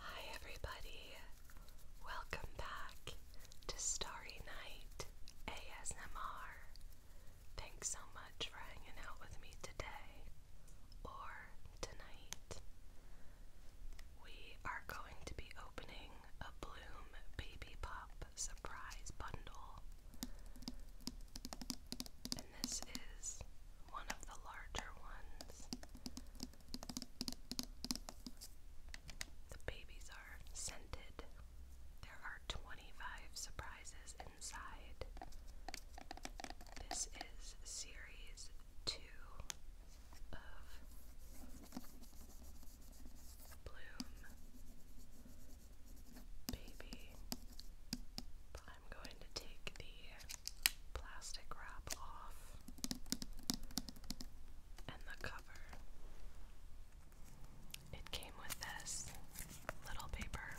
Hi, everybody. Welcome back to Starry Night ASMR. Thanks so much for hanging out with me today or tonight. We are going to be opening a Bloom Baby Pop surprise bundle. And this is one of the larger ones. The babies are scented. There are 25 surprises inside. This is series 2 of Bloom Baby I'm going to take the plastic wrap off and the cover. It came with this little paper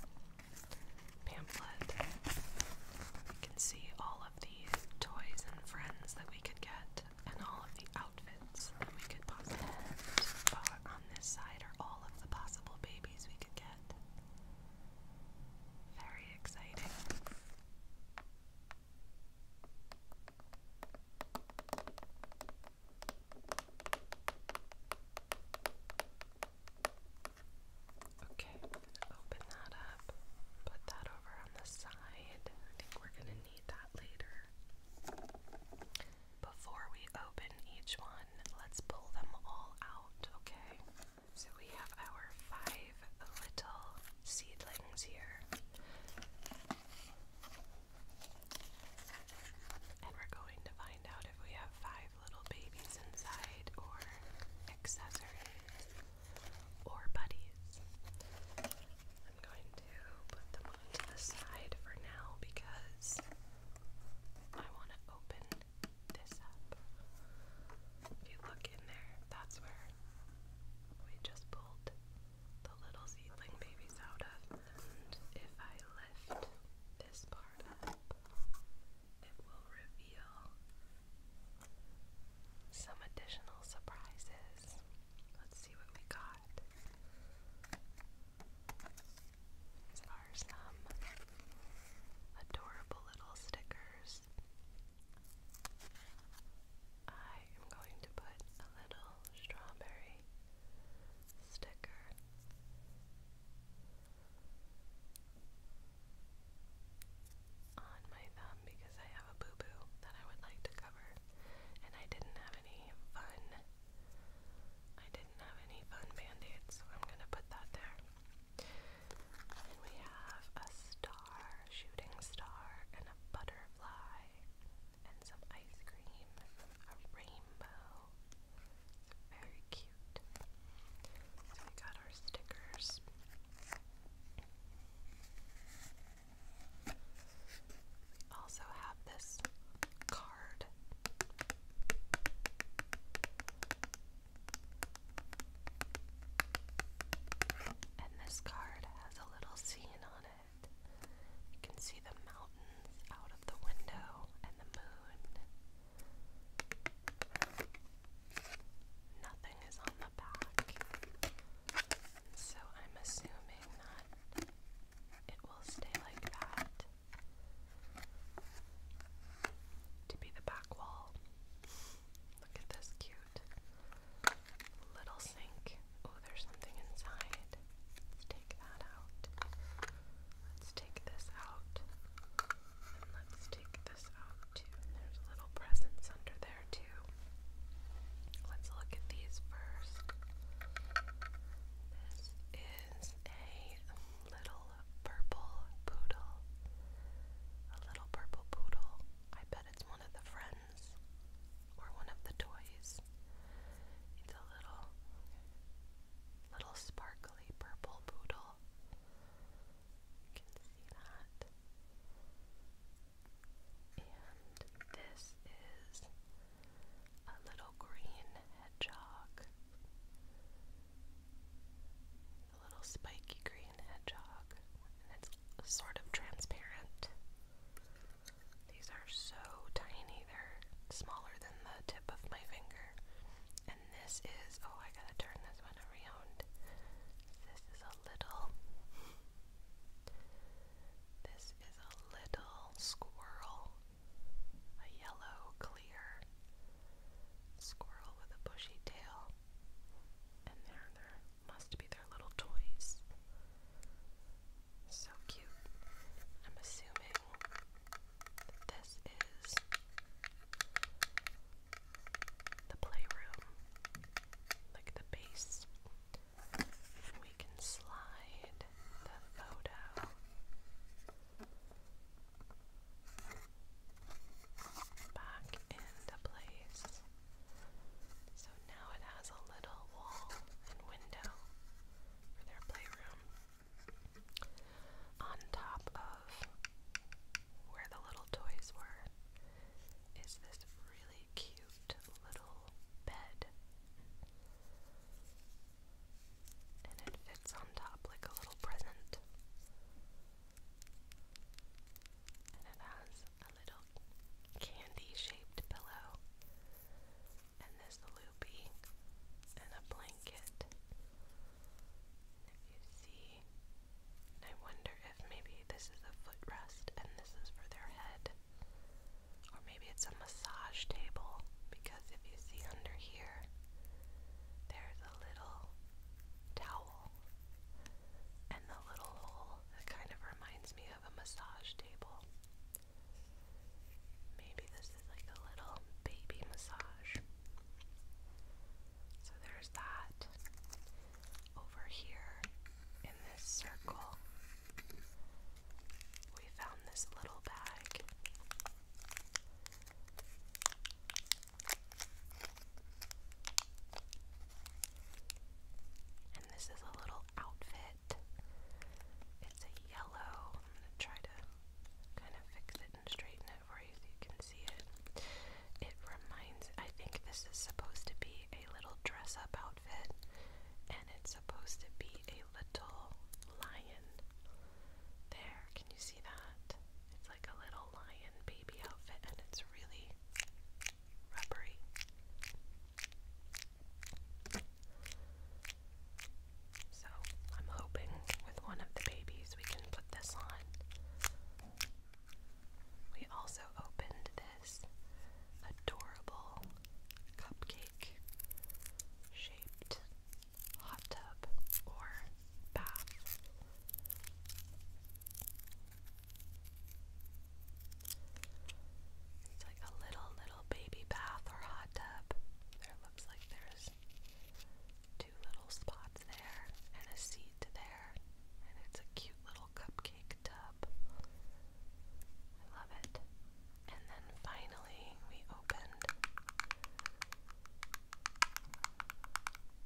pamphlet. You can see all of the toys and friends that we could get, and all of the outfits we could possibly get. On this side are all of the possible babies we could get. Very exciting. Okay, open that up, put that over on the side. I think we're going to need that later. Before we open each one, let's pull them all out, okay? So we have our five little seedlings here. And we're going to find out if we have five little babies inside, or accessories, or buddies. I'm going to put them to the side for now because I want to open this up. If you look in there, that's where we just pulled the little seedling babies out of. And if I lift this part up, it will reveal some additional surprises. Let's see what we got. are some adorable little stickers. I am going to put a little strawberry sticker on my thumb because I have a boo boo that I would like to cover, and I didn't have any fun. I didn't have any fun band-aids, so I'm gonna put that there we have a star, shooting star, and a butterfly, and some ice cream, a rainbow. very cute. So we got our stickers. We also have this card. And this card has a little scene on it. You can see the mountains out of the window and the moon. Nothing is on the back. So I'm assuming that it will stay like that to be the back wall. Look at this cute little sink. Oh, there's something inside. Let's take that out. Let's take this out. And let's take this out too. And there's little presents under there too. Let's look at these first. This is a little purple poodle. A little purple poodle. I bet it's one of the friends or one of the toys. It's a little little sparkly purple poodle. can see that. And this is a little green hedgehog a little spiky green hedgehog, and it's sort of transparent. These are so tiny, they're smaller than the tip of my finger. And this is, oh, I gotta turn this one around. This is a little, this is a little squirrel, a yellow, squirrel with a bushy tail. And there, must be their little toys. So cute. I'm assuming this is the playroom, like the base. We can slide the photo back into place. So now it has a little wall and window for their playroom. On top of where the little toys were is this really cute little bed. And it fits on top like a little present. And it has a little candy shaped pillow, and this loopy, and a blanket. If you see, I wonder if maybe this is a footrest and this is for their head. Or maybe it's a massage table because if you see under here, there's a little towel and the little hole kind of reminds me of a massage table. Maybe this is like a little baby massage. So there's that. Over here in this circle, we found this little bag. And this is a little outfit. It's a yellow. I'm going to try to kind of fix it and straighten it for you so you can see it. It reminds, I think this is supposed to be a little dress up outfit, and it's supposed to be a little lion. There, can you see that? It's like a little lion baby outfit and it's really rubbery. So I'm hoping with one of the babies we can put this on. We also opened this adorable cupcake shaped hot tub or bath. It's like a little, little baby bath or hot tub. There looks like there's two little spots there and a seat there, and it's a cute little cupcake tub. I love it. And then finally, we opened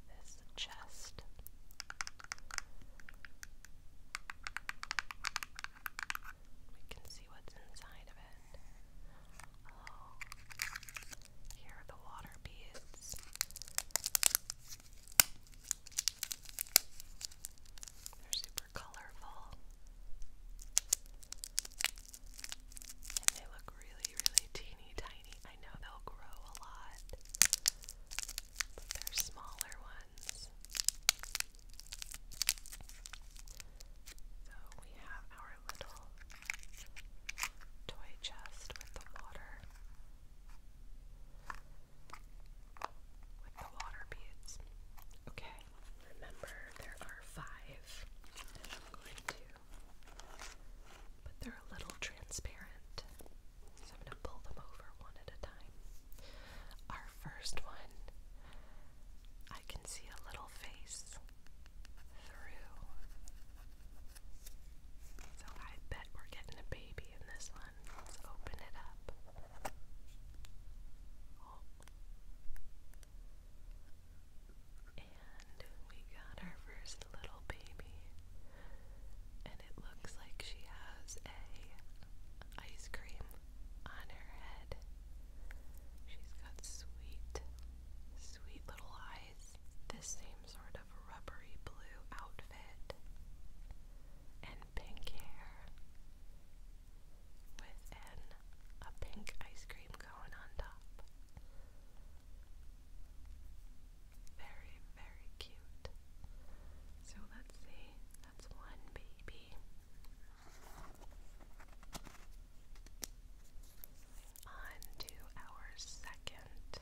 this chest. We can see what's inside of it. Oh, here are the water beads. They're super colorful. And they look really, really teeny tiny. I know they'll grow a lot, but they're smaller ones. So we have our little toy chest with the water, with the water beads. Okay, remember there are five, I'm going to but they're a little transparent. So I'm going to pull them over one at a time. Our first one, I can see a little face through. So I bet we're getting a baby in this one. Let's open it up. Oh. And we got our first little baby. And it looks like she has a ice cream on her head. She's got sweet, sweet little eyes. This same sort of rubbery blue outfit and pink hair with an a pink ice cream cone on top. Very, very cute. So let's see, that's one baby. On to our second.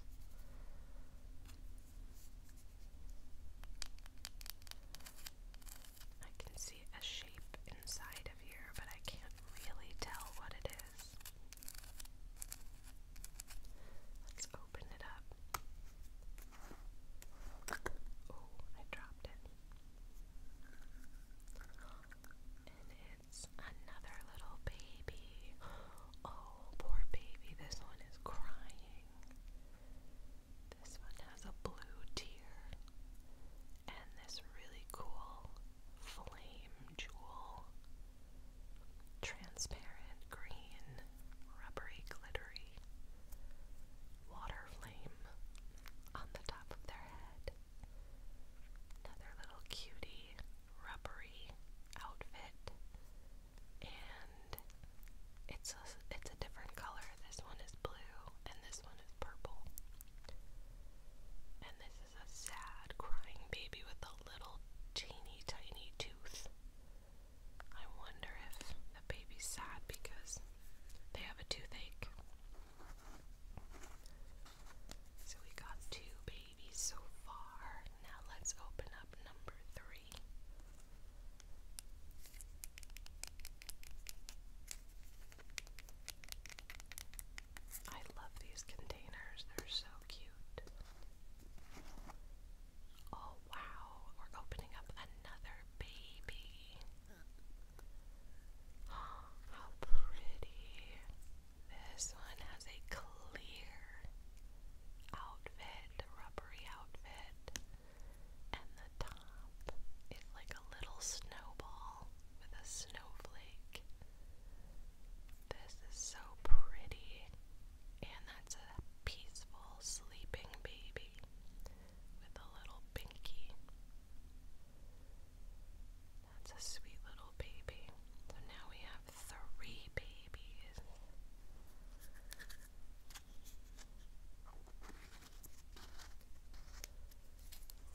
I can see a shape inside here, but I can't really tell what it is. Let's open it up. Oh, I dropped it. And it's another little baby. Oh, poor baby. This one is crying. This one has a blue tear and this really cool flame jewel, transparent green, rubbery, glittery water flame on the top of their head. Another little cutie, rubbery outfit, and it's a, it's a different color. This one is blue, and this one is purple. And this is a sad, crying baby with a little teeny tiny tooth. I wonder if the baby's sad because they have a toothache. So we got two babies so far. Now let's open up number three. I love these containers. They're so cute. Oh wow, we're opening up another baby. how pretty. This one has a clear outfit, rubbery outfit, and the top is like a little snowball with a snowflake this is so pretty. And that's a peaceful sleeping baby with a little pinky. That's a sweet little baby. So now we have three babies.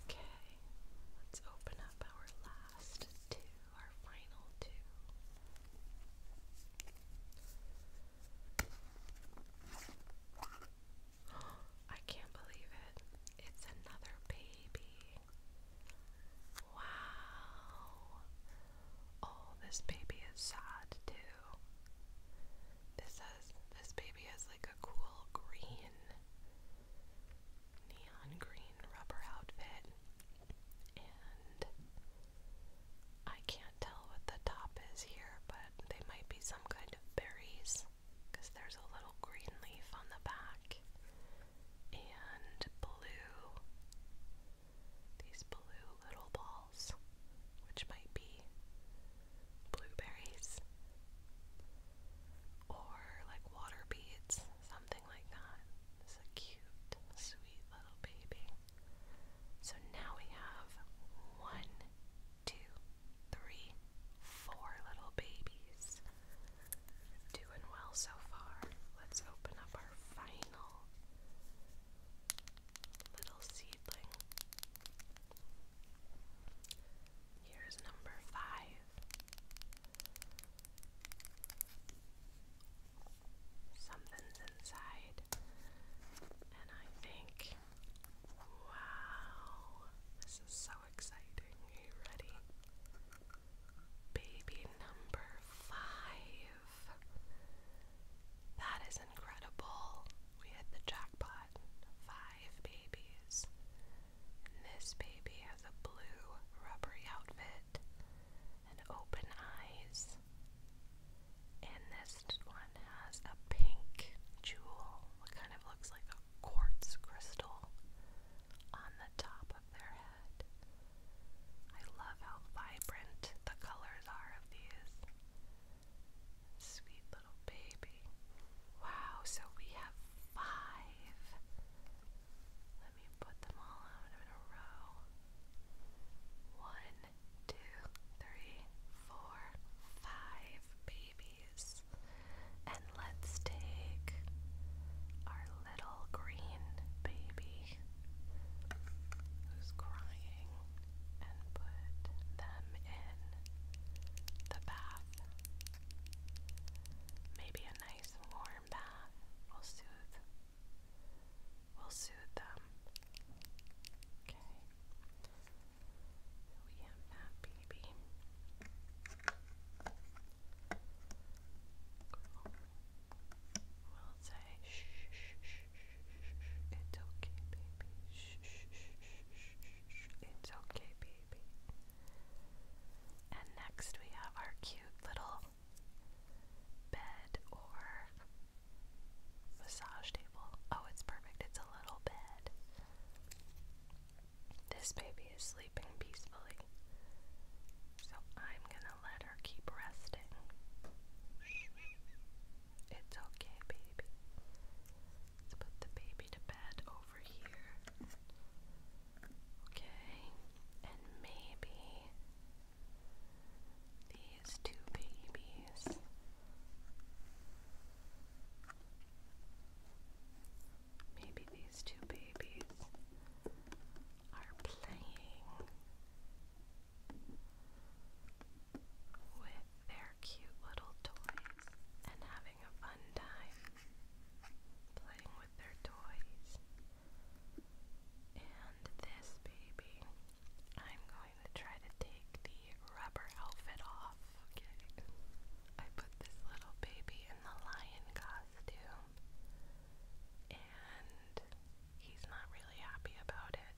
Okay, let's open up our last two, our final two. I can't believe it. It's another baby. Wow. Oh, this baby is sad too. This has this baby has like a cool green neon green rubber outfit, and I can't tell what the top is here, but they might be some kind of berries because there's a little green leaf on the back and blue. These blue little balls, which might be blueberries or like water beads, something like that. It's a cute, sweet little baby. So now we have one, two, three, four little babies. Doing well so far. Let's open up our final little seedling. Here's number five. Something's inside, and I think, wow, this is so exciting. Are you ready? Baby number five. That is incredible. We hit the jackpot. Five babies this baby has a blue rubbery outfit and open eyes. And this one has a pink jewel, what kind of looks like a quartz crystal on the top of their head. I love how vibrant the colors are of these. Sweet baby. Wow, so we have five. Let me put them all in a row. One, two, three, four, five babies. And let's take our little green baby who's crying and put them in the bath. Maybe a nice warm bath will soothe will soothe them. Okay. we have that baby. We'll say shh, shh, shh, shh, it's okay, baby. Shh, shh, shh, shh, shh, it's okay, baby. And next we have our cute little bed or massage table. Oh, it's perfect. It's a little bed. This baby is sleeping peacefully. So I'm gonna let her keep resting. It's okay, baby. Let's put the baby to bed over here. Okay, and maybe these two babies. Maybe these two babies are playing with their cute little toys and having a fun time playing with their toys. And this baby, I'm going to try to take the rubber outfit off. Okay. I put this little baby in the lion costume and he's not really happy about it.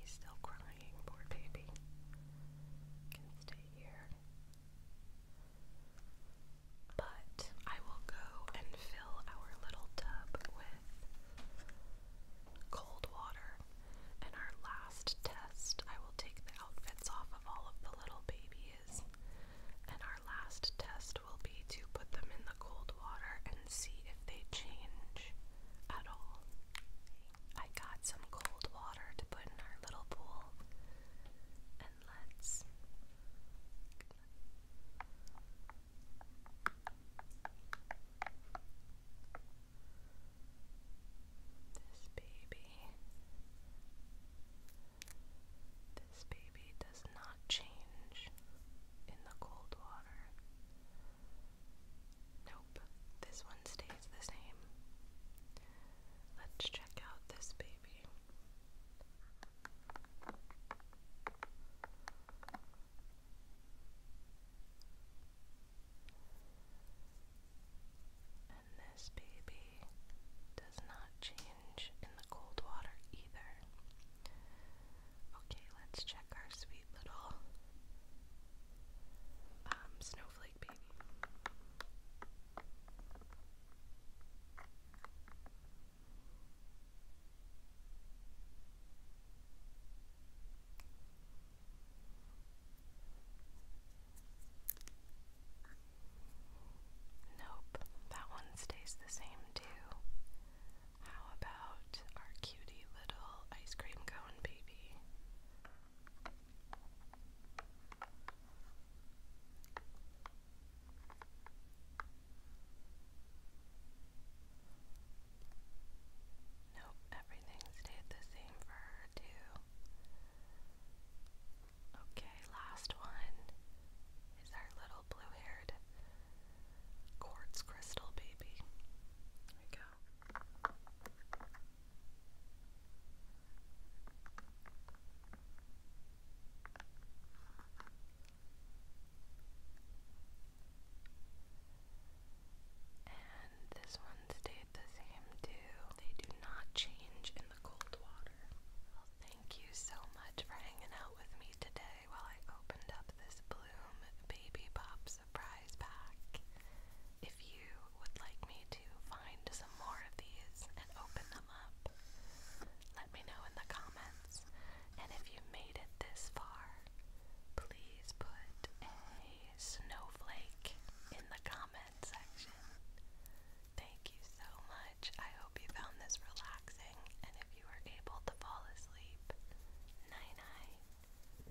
He's still crying, poor baby. But I will go and fill our little tub with cold water. And our last test, I will take the outfits off of all of the little babies. And our last test will be to put them in the cold water and see if they change at all. I got some cold water to put in our little pool. And let's. This baby. This baby does not change in the cold water. Nope, this one stays is the same. Let's check out this baby. And this baby does not change in the cold water either. Okay, let's check our sweet little um, Snow Nope, that one stays the same too. How about our cutie little ice cream cone baby? Nope, everything stayed the same for her too. Okay, last one is our little blue haired quartz crystal baby. There we go. And this one stayed the same too. They do not change in the cold water. thank you so much for hanging out with me today while I opened up this Bloom Baby pops surprise pack. If you would like me to find some more of these and open them up, let me know in the comments. And if you made it this far, please put a snowflake in the comment section. Thank you so much. I hope you found this relaxing and if you were able to fall asleep, night night.